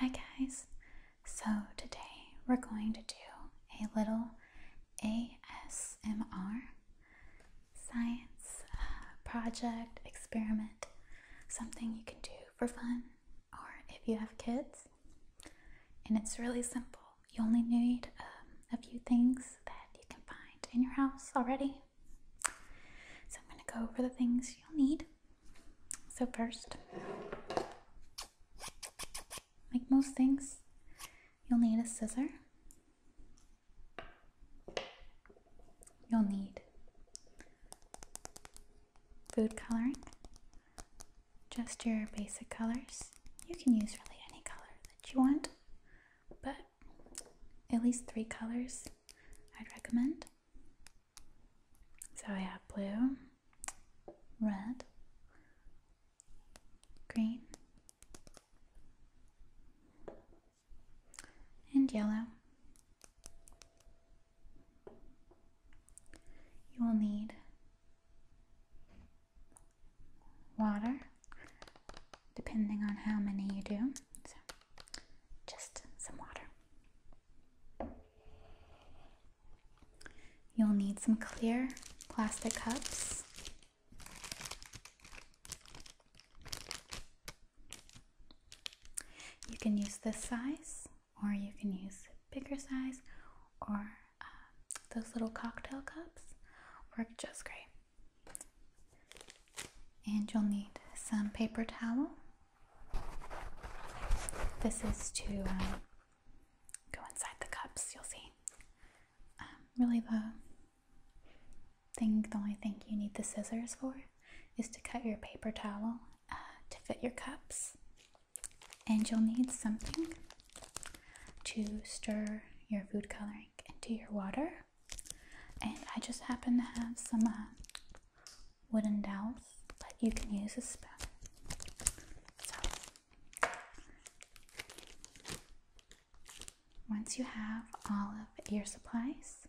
Hi guys! So today we're going to do a little ASMR science uh, project, experiment, something you can do for fun or if you have kids. And it's really simple. You only need um, a few things that you can find in your house already. So I'm going to go over the things you'll need so, first, like most things, you'll need a scissor, you'll need food coloring, just your basic colors. You can use really any color that you want, but at least three colors I'd recommend. So I have blue, red, green, and yellow. You will need water depending on how many you do just some water. You'll need some clear plastic cups. You can use this size, or you can use bigger size, or uh, those little cocktail cups work just great and you'll need some paper towel. This is to um, go inside the cups, you'll see. Um, really, the thing, the only thing you need the scissors for is to cut your paper towel uh, to fit your cups. And you'll need something to stir your food coloring into your water and I just happen to have some uh, wooden dowels that you can use as spoon. So, once you have all of your supplies,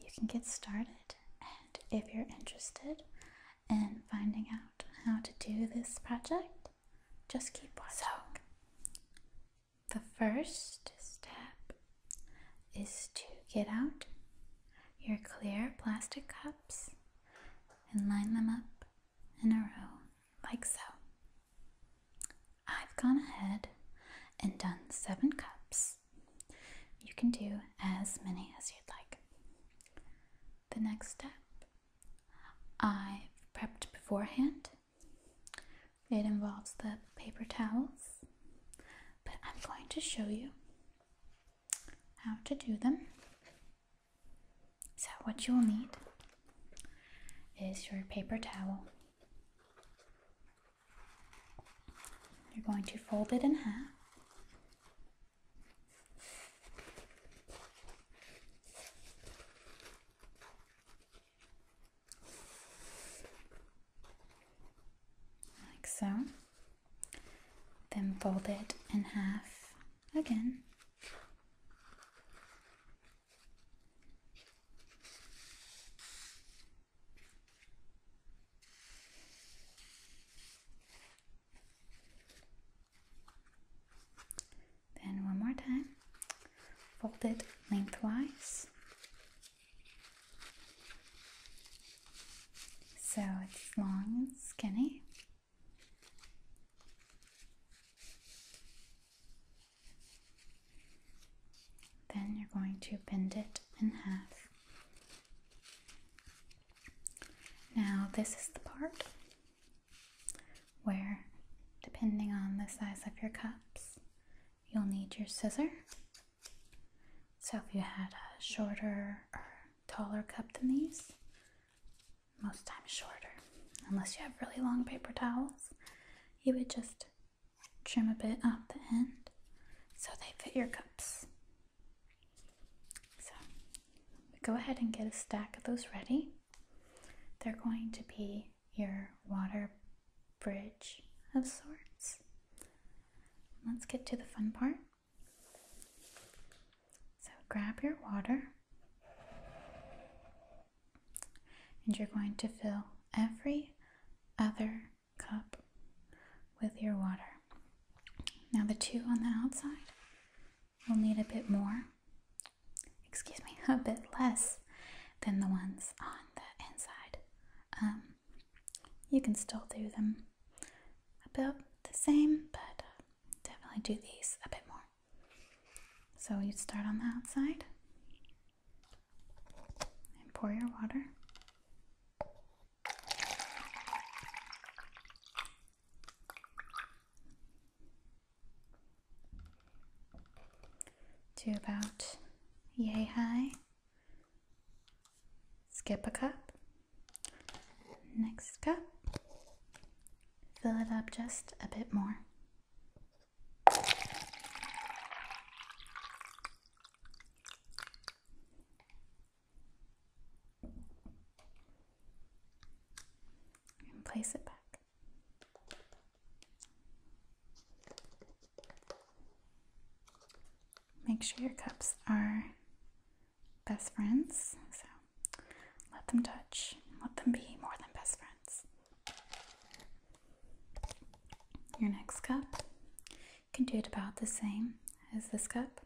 you can get started. And if you're interested in finding out how to do this project, just keep watching. The first step is to get out your clear plastic cups and line them up in a row like so. I've gone ahead and done seven cups. You can do as many as you'd like. The next step I've prepped beforehand it involves the paper towels, but I'm going to show you how to do them. So, what you will need is your paper towel. You're going to fold it in half like so. Then fold it in half again. Then one more time. Fold it lengthwise. So it's long and skinny. Then you're going to bend it in half. Now, this is the part where, depending on the size of your cups, you'll need your scissor. So, if you had a shorter or taller cup than these, most times shorter, unless you have really long paper towels, you would just trim a bit off the end so they fit your cups. So, go ahead and get a stack of those ready. They're going to be your water bridge of sorts. Let's get to the fun part. So grab your water and you're going to fill every other cup with your water. Now the two on the outside will need a bit more excuse me, a bit less than the ones on the inside. Um, you can still do them about the same, but uh, definitely do these a bit more. So you start on the outside and pour your water to about yay high. Skip a cup. Next cup. Fill it up just a bit more and place it back. Make sure your cups are best friends, so let them touch, let them be more than best friends. Your next cup, you can do it about the same as this cup.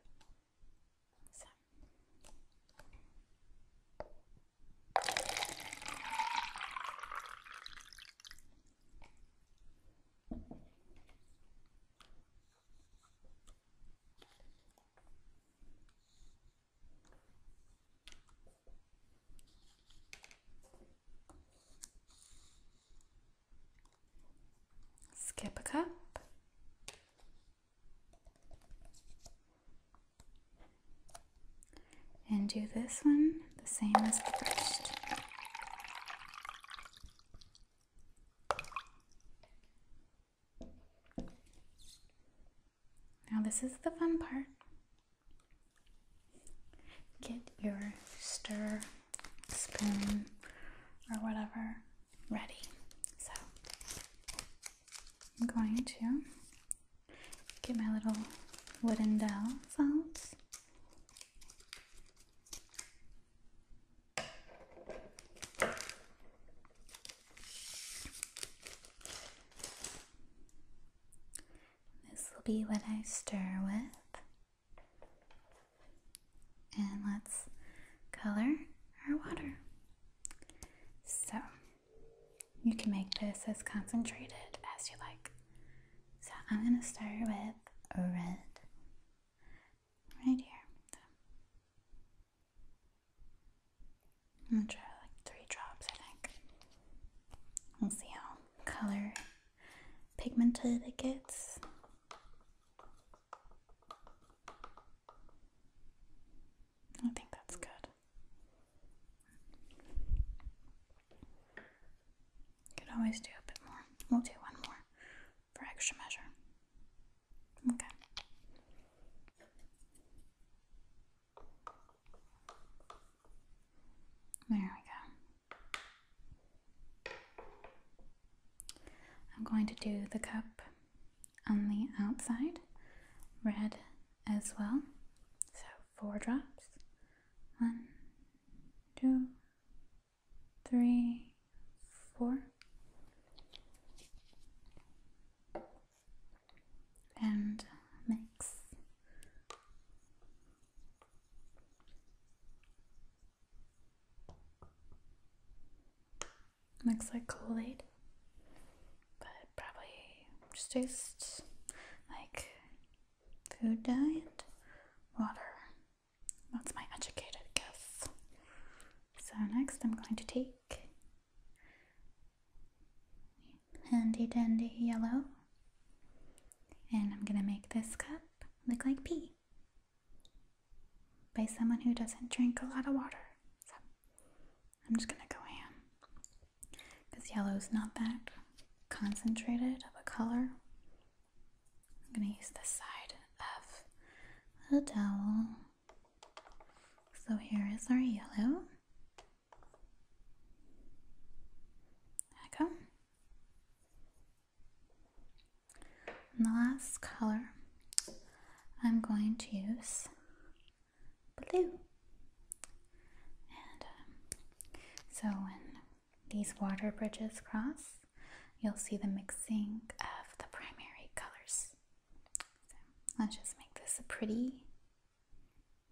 Skip a cup and do this one the same as the first. Now, this is the fun part. Get your stir, spoon, or whatever ready. So I'm going to get my little wooden dowels This will be what I stir with and let's color our water. So you can make this as concentrated as you like. So I'm going to start with red right here. I'm going to try like three drops, I think. We'll see how color pigmented it gets. I think that's good. Could always do a bit more. We'll do one more for extra measure. Okay. There we go. I'm going to do the cup on the outside, red as well. So, four drops. One, two, three, four. And mix. Looks like Kool Aid, but probably just tastes like food diet, water. That's my educated guess. So, next I'm going to take handy dandy yellow and I'm gonna make this cup look like pea by someone who doesn't drink a lot of water. So I'm just gonna go ham because yellow's not that concentrated of a color. I'm gonna use the side of a dowel. So here is our yellow. There we go. And the last color I'm going to use blue. And um, so when these water bridges cross, you'll see the mixing of the primary colors. let's just make this a pretty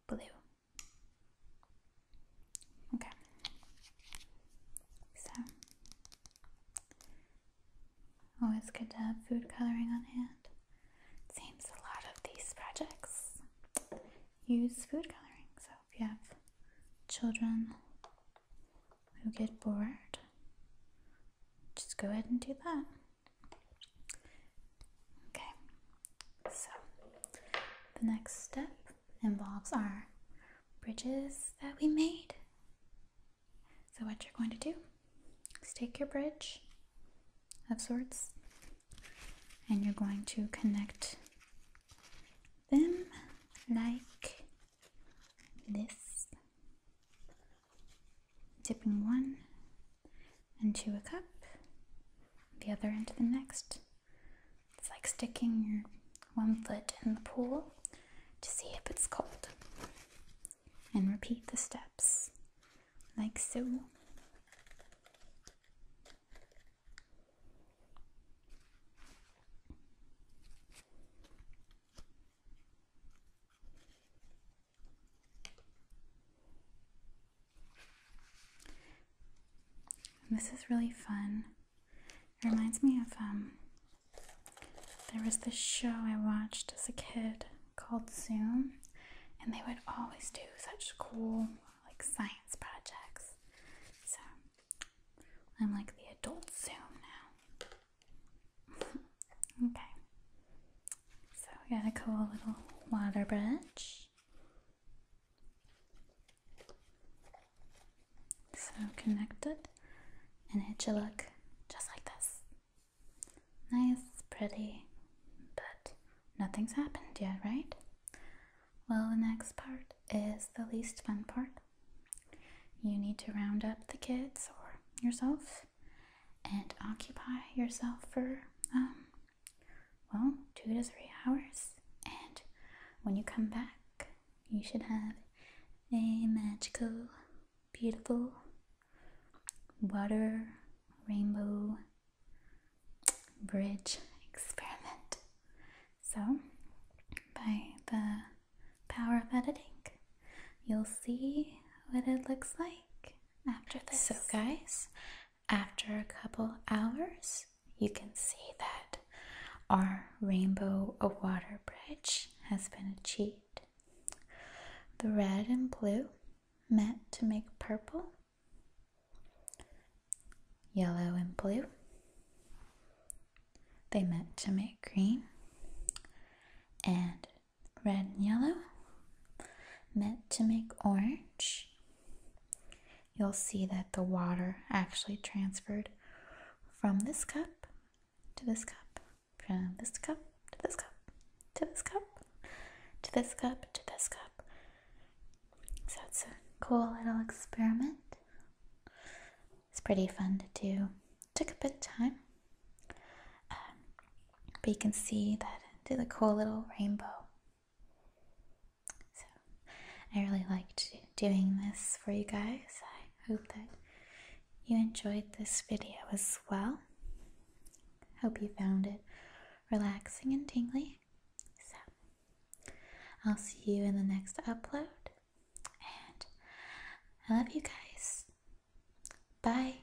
blue. Okay. So, always good to have food coloring on hand. seems a lot of these projects use food coloring. So, if you have children who get bored, just go ahead and do that. Okay. So, the next step involves our bridges that we made. So what you're going to do is take your bridge of sorts and you're going to connect them like this. Dipping one into a cup, the other into the next. It's like sticking your one foot in the pool to see if it's cold. And repeat the steps like so this is really fun. It reminds me of um, there was this show I watched as a kid called Zoom and they would always do such cool like science projects. So I'm like the adult Zoom now. okay. So we got a cool little water bridge. So connected and it should look just like this. Nice, pretty, but nothing's happened yet, right? Well, the next part is the least fun part. You need to round up the kids or yourself and occupy yourself for um, well, two to three hours. And when you come back, you should have a magical, beautiful water rainbow bridge experiment. So, by the power of editing, you'll see what it looks like after this. So, guys, after a couple hours, you can see that our rainbow of water bridge has been achieved. The red and blue met to make purple, yellow and blue. They met to make green, and red and yellow met to make orange, you'll see that the water actually transferred from this cup to this cup, from this cup to this cup, to this cup, to this cup, to this cup. So it's a cool little experiment. It's pretty fun to do. Took a bit of time. Um, but you can see that did a cool little rainbow. So I really liked doing this for you guys. I hope that you enjoyed this video as well. Hope you found it relaxing and tingly. So I'll see you in the next upload. And I love you guys. Bye.